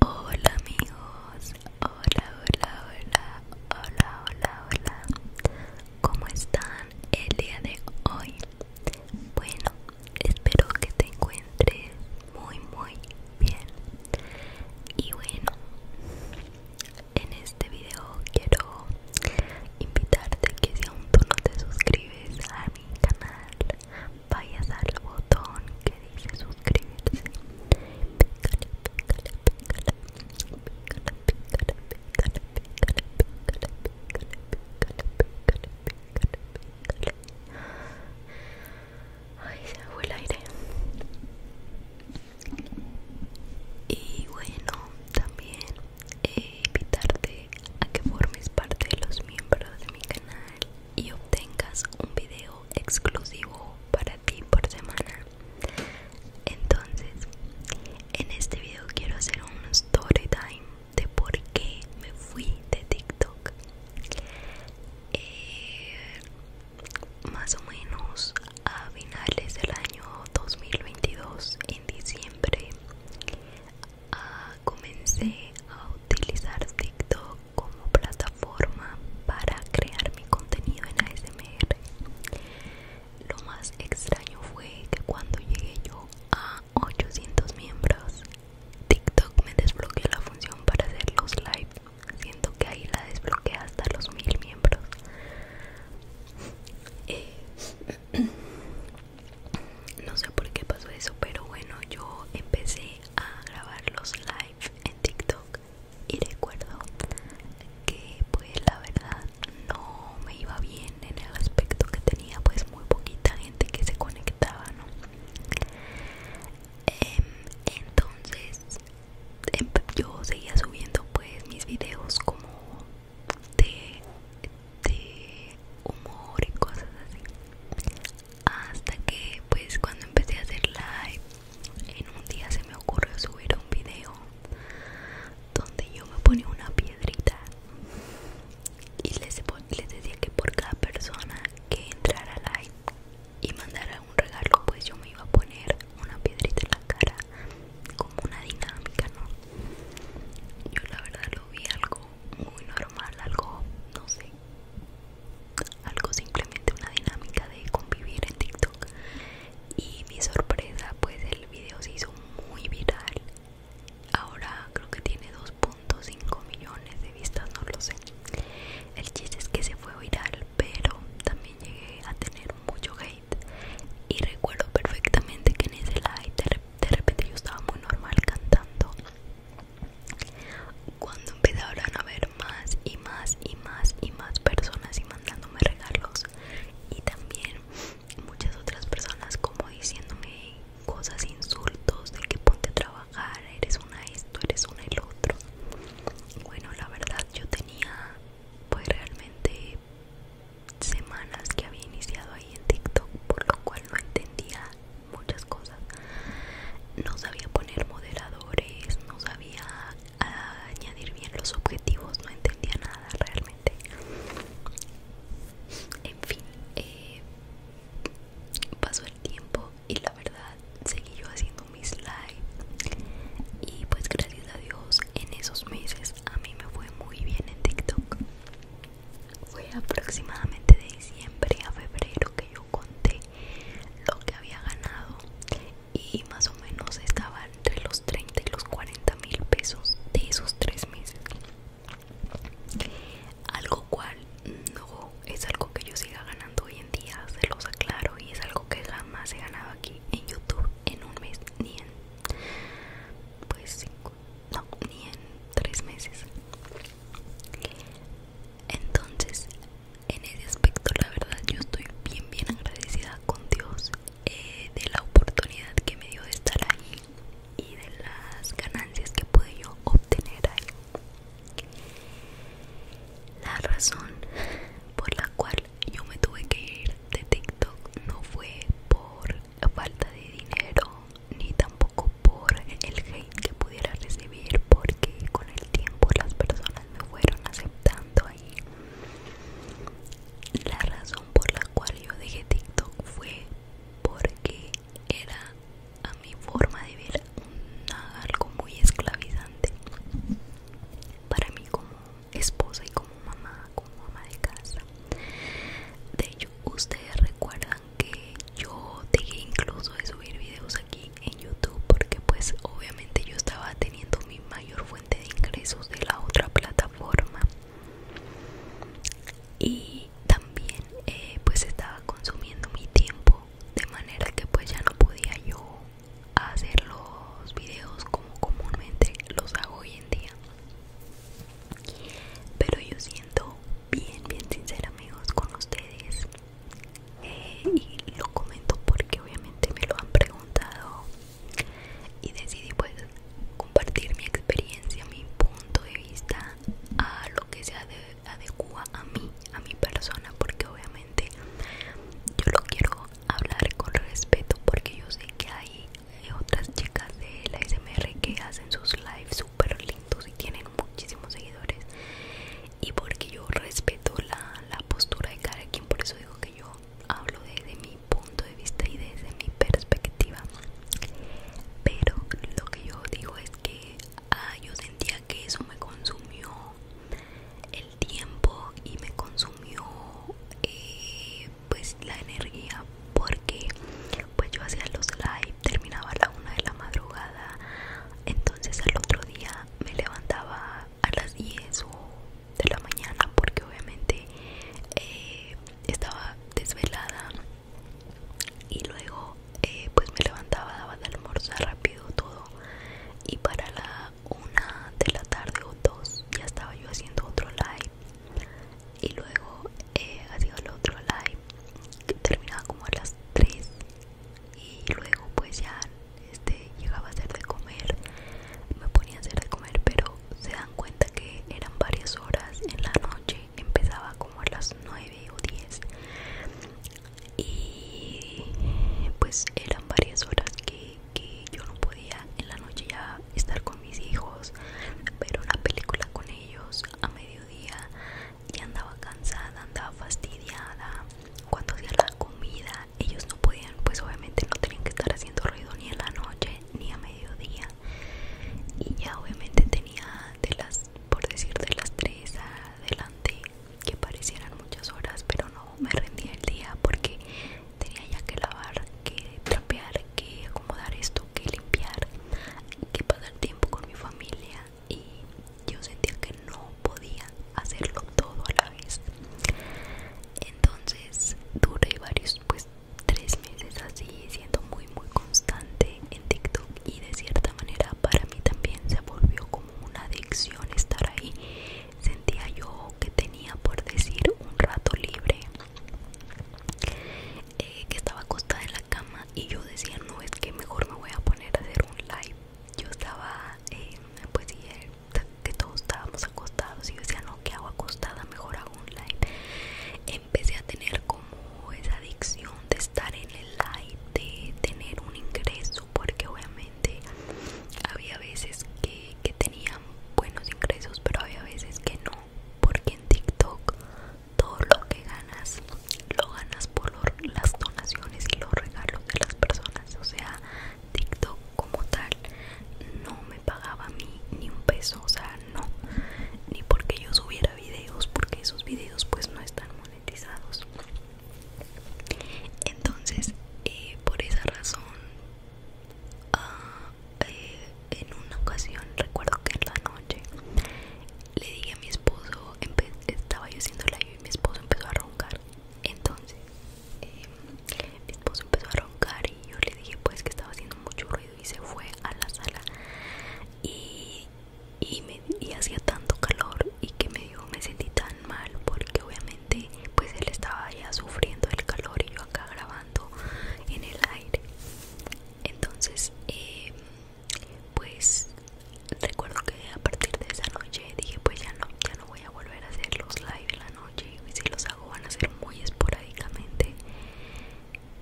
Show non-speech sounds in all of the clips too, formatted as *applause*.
Hola amigos, hola, hola, hola, hola, hola, hola. ¿Cómo están el día de hoy? Bueno, espero que te encuentres muy, muy bien. Y bueno, en este video quiero invitarte que si aún no te suscribes a mi canal vayas al botón que dice suscribirse pícale, pícale, pícale, pícale, pícale, pícale, pícale, pícale, pícale, pícale, pícale, pícale. Ay, se me fue el aire. Y bueno, también eh, invitarte a que formes parte de los miembros de mi canal y obtengas un video exclusivo para ti por semana entonces en este video quiero hacer un story time de por qué me fui de tiktok eh, más o menos a finales del año 2022 en diciembre Ah, comencé a utilizar TikTok como plataforma para crear mi contenido en ASMR. Lo más extraño fue que cuando llegué yo a 800 miembros, TikTok me desbloqueó la función para hacer los live. Siento que ahí la desbloquea hasta los 1000 miembros. Eh, *clears throat* no sé por qué pasó eso pero bueno yo empecé a grabar los live en tiktok y recuerdo que pues la verdad no me iba bien en el aspecto que tenía pues muy poquita gente que se conectaba no em, entonces em, yo seguía subiendo pues mis videos como de humor y cosas así hasta que pues cuando empecé a hacer live en un día se me ocurrió subir un video donde yo me ponía una piedrita y les, decía que por cada persona que entrara live y mandara un regalo pues yo me iba a poner una piedrita en la cara como una dinámica no yo la verdad lo vi algo muy normal algo no sé algo simplemente una dinámica de convivir en TikTok y mi sorpresa pues el video se hizo muy viral ahora creo que tiene 2.5 millones de vistas no lo sé el chiste es que se fue viral pero también llegué a tener mucho hate y recuerdo perfectamente que en ese live de repente yo estaba muy normal cantando cuando empezaron a ver más y más y más y más personas y mandándome regalos y también muchas otras personas como diciéndome cosas, insultos de que ponte a trabajar, eres una esto, eres una el otro. Bueno, la verdad yo tenía pues realmente semanas que había iniciado ahí en TikTok por lo cual no entendía muchas cosas. No sabía poner moderadores, no sabía ah, añadir bien los objetivos, no entendía nada realmente. En fin, eh, pasó el tiempo y la verdad seguí yo haciendo mis live. Y pues gracias a Dios en esos meses a mí me fue muy bien en TikTok. Fue aproximadamente de diciembre a febrero que yo conté lo que había ganado y más o menos estaba entre los 30 y los 40 mil pesos de esos tres meses. Algo cual no es algo que yo siga ganando hoy en día, se los aclaro, y es algo que jamás he ganado aquí en YouTube en un mes ni en pues 5 no, ni en tres meses. Entonces, en ese aspecto, la verdad, yo estoy bien, bien agradecida con Dios eh, de la oportunidad que me dio de estar ahí y de las ganancias que pude yo obtener ahí. La razón por la cual yo me tuve que ir de TikTok no fue por falta de dinero ni tampoco por el hate que pudiera recibir porque con el tiempo las personas me fueron aceptando ahí la razón por la cual yo dejé TikTok fue porque era a mi forma de ver algo muy esclavizante para mí como esposa y como mamá, como ama de casa. De ustedes recuerdan que yo dejé incluso de subir videos aquí en youtube porque pues obviamente yo estaba teniendo mi mayor fuente de ingresos de la otra plataforma y también eh, pues estaba consumiendo mi tiempo de manera que pues ya no podía yo hacer los videos como comúnmente los hago hoy en día pero yo siento bien bien sincera amigos con ustedes eh, y lo comento porque obviamente me lo han preguntado y decidí pues compartir mi experiencia mi punto de vista a lo que se adecua a mí a mi persona porque obviamente yo lo quiero hablar con respeto porque yo sé que hay otras chicas de la SMR que hacen sus lives pero lindos y tienen muchísimos seguidores y porque yo respeto la, postura de cada quien por eso digo que yo hablo desde mi punto de vista y desde mi perspectiva pero lo que yo digo es que ah, yo sentía que eso me consumió el tiempo y me consumió eh, pues la energía porque pues yo hacía los live terminaba a la 1 de la madrugada entonces al otro día me levantaba a las 10 de la mañana porque obviamente eh, estaba desvelada y luego eh, pues me levantaba daba de almorzar rápido todo y para la 1 de la tarde o 2 ya estaba yo haciendo otro live y luego eh, hacía el otro live terminaba como a las 3 y luego pues ya este, llegaba a hacer de comer me ponía a hacer de comer pero se dan cuenta que eran varias horas en la noche empezaba como a las 9 o 10 y pues eran varias horas que, que yo no podía en la noche ya estar con mis hijos ver una película con ellos a mediodía ya andaba cansada, andaba fastidiada. Cuando hacía la comida, ellos no podían, pues obviamente no tenían que estar haciendo ruido ni en la noche ni a mediodía. Y ya obviamente tenía de las, por decir, de las 3 adelante, que parecieran muchas horas, pero no me rendía el día porque tenía ya que lavar, que trapear, que acomodar esto, que limpiar, que pasar tiempo con mi familia y yo sentía que no podía hacerlo todo a la vez entonces duré varios pues tres meses así siendo muy muy constante en TikTok y de cierta manera para mí también se volvió como una adicción estar ahí sentía yo que tenía por decir un rato libre eh, que estaba acostada en la cama y yo decía no es que mejor me voy a poner a hacer un live yo estaba eh, pues eh, que todos estábamos acostados y yo decía no que hago acostada mejor hago un live empecé a tener como esa adicción de estar en el live de tener un ingreso porque obviamente había veces que, que tenían buenos ingresos pero había veces que no porque en TikTok todo lo que ganas lo ganas por las donaciones y los regalos de las personas o sea TikTok como tal no me pagaba a mí ni un peso o sea no ni porque yo subiera videos porque esos videos pues no están monetizados entonces eh, por esa razón ah, eh, en una ocasión recuerdo que en la noche le dije a mi esposo, estaba yo haciendo live y mi esposo empezó a roncar. Entonces, em, mi esposo empezó a roncar y yo le dije pues que estaba haciendo mucho ruido y se fue a la sala. Y, y, me, y hacía tanto calor y que me me sentí tan mal porque obviamente pues él estaba ya sufriendo el calor y yo acá grabando en el aire. Entonces, eh, pues recuerdo que a partir de esa noche dije pues ya no, ya no voy a volver a hacer los live de la noche y si los hago van a ser muy esporádicamente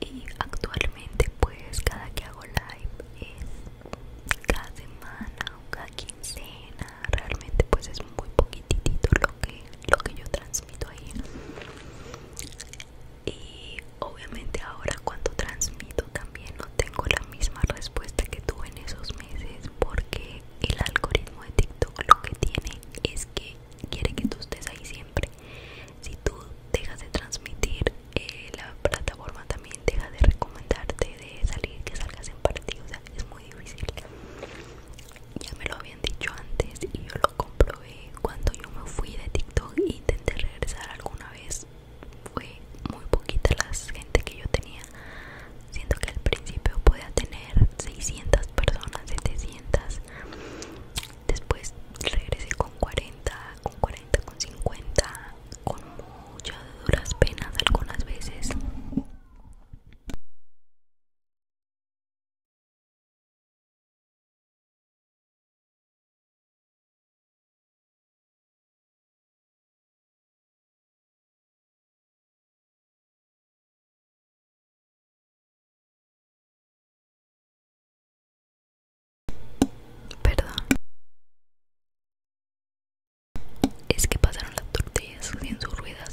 y actualmente pues cada que hago live es cada semana o cada quincena realmente pues es muy poquitito lo que, lo que yo transmito ahí Obviamente ahora cuando transmito también no tengo la misma respuesta que tuve en esos meses porque el algoritmo de TikTok lo que tiene es que quiere que tú estés ahí siempre. Si tú dejas de transmitir, eh, la plataforma también deja de recomendarte de salir, que salgas en partido, es muy difícil. Ya me lo habían dicho antes y yo lo comprobé cuando yo me fui de TikTok e intenté regresar alguna fue muy poquita la gente que yo tenía siento que al principio podía tener 600 personas 700 después regresé con 40 con 40 con 50 con muchas duras penas algunas veces Perdón. Es que pasaron las tortillas sin sus ruedas.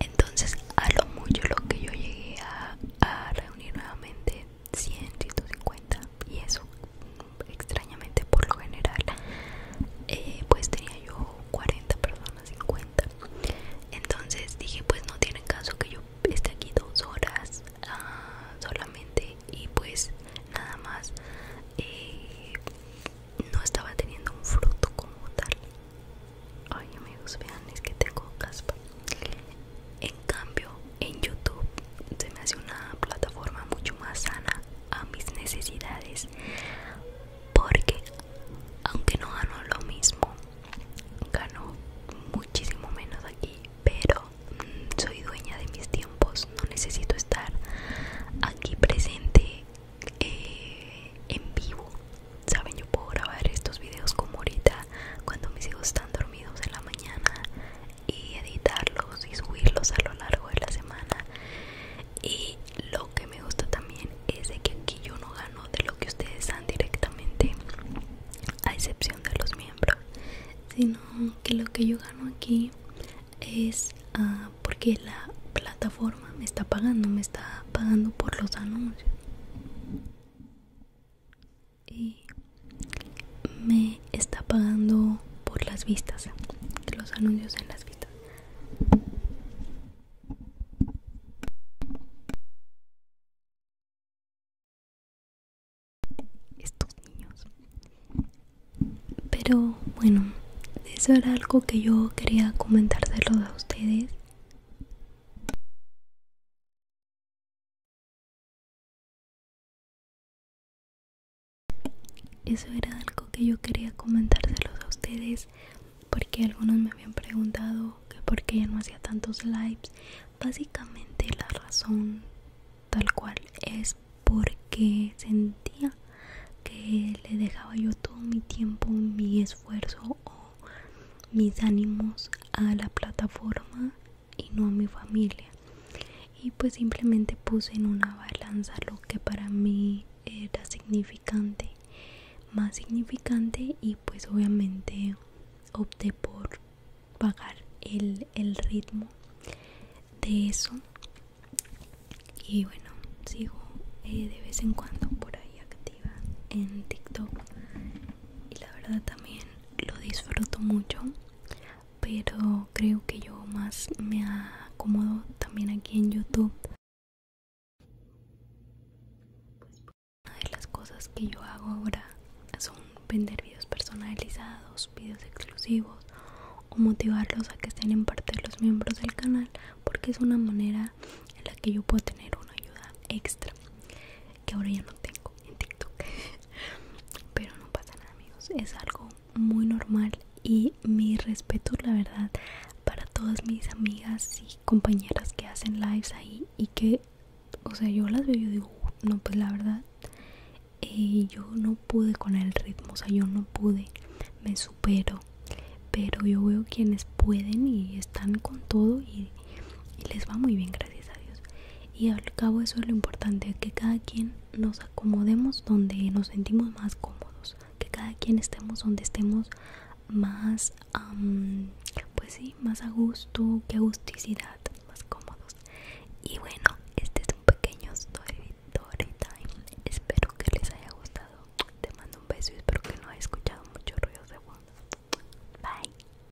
Entonces, a lo mucho lo que yo llegué a reunir nuevamente 100, 150 y eso extrañamente por lo general eh, pues tenía yo 40 personas 50 entonces dije pues no tiene caso que yo esté aquí dos horas ah, solamente y pues nada más eh, no estaba teniendo un fruto como tal ay amigos vean es que tengo caspa en cambio, en YouTube se me hace una plataforma mucho más sana a mis necesidades porque aunque no gano lo mismo gano muchísimo menos aquí pero mm, soy dueña de mis tiempos no necesito estar aquí presente eh, en vivo saben yo puedo grabar estos videos como ahorita cuando mis hijos están midos en la mañana y editarlos y subirlos a lo largo de la semana y lo que me gusta también es de que aquí yo no gano de lo que ustedes dan directamente a excepción de los miembros sino que lo que yo gano aquí es ah, porque la plataforma me está pagando me está pagando por los anuncios y me está pagando por las vistas, los anuncios en las vistas. Estos niños. Pero bueno, eso era algo que yo quería comentárselo a ustedes. Eso era algo que yo quería comentárselos a ustedes porque algunos me habían preguntado que por qué ya no hacía tantos lives. Básicamente la razón tal cual es porque sentía que le dejaba yo todo mi tiempo, mi esfuerzo o mis ánimos a la plataforma y no a mi familia y pues simplemente puse en una balanza lo que para mí era significante más significante y pues obviamente opté por pagar el, el ritmo de eso y bueno sigo eh, de vez en cuando por ahí activa en tiktok y la verdad también lo disfruto mucho pero creo que yo más me acomodo también aquí en youtube una de las cosas que yo hago ahora son vender videos personalizados videos exclusivos o motivarlos a que estén en parte de los miembros del canal porque es una manera en la que yo puedo tener una ayuda extra que ahora ya no tengo *laughs* pero no pasa nada amigos es algo muy normal y mi respeto la verdad para todas mis amigas y compañeras que hacen lives ahí y que o sea yo las veo y digo no pues la verdad eh, yo no pude con el ritmo o sea yo no pude me supero pero yo veo quienes pueden y están con todo y y les va muy bien, gracias a Dios. Y al cabo eso es lo importante, que cada quien nos acomodemos donde nos sentimos más cómodos, que cada quien estemos donde estemos más, pues sí, más a gusto, que agusticidad, más cómodos. Y bueno, este es un pequeño story, time. Espero que les haya gustado. Te mando un beso y espero que no hayas escuchado muchos ruidos de fondo. Bye.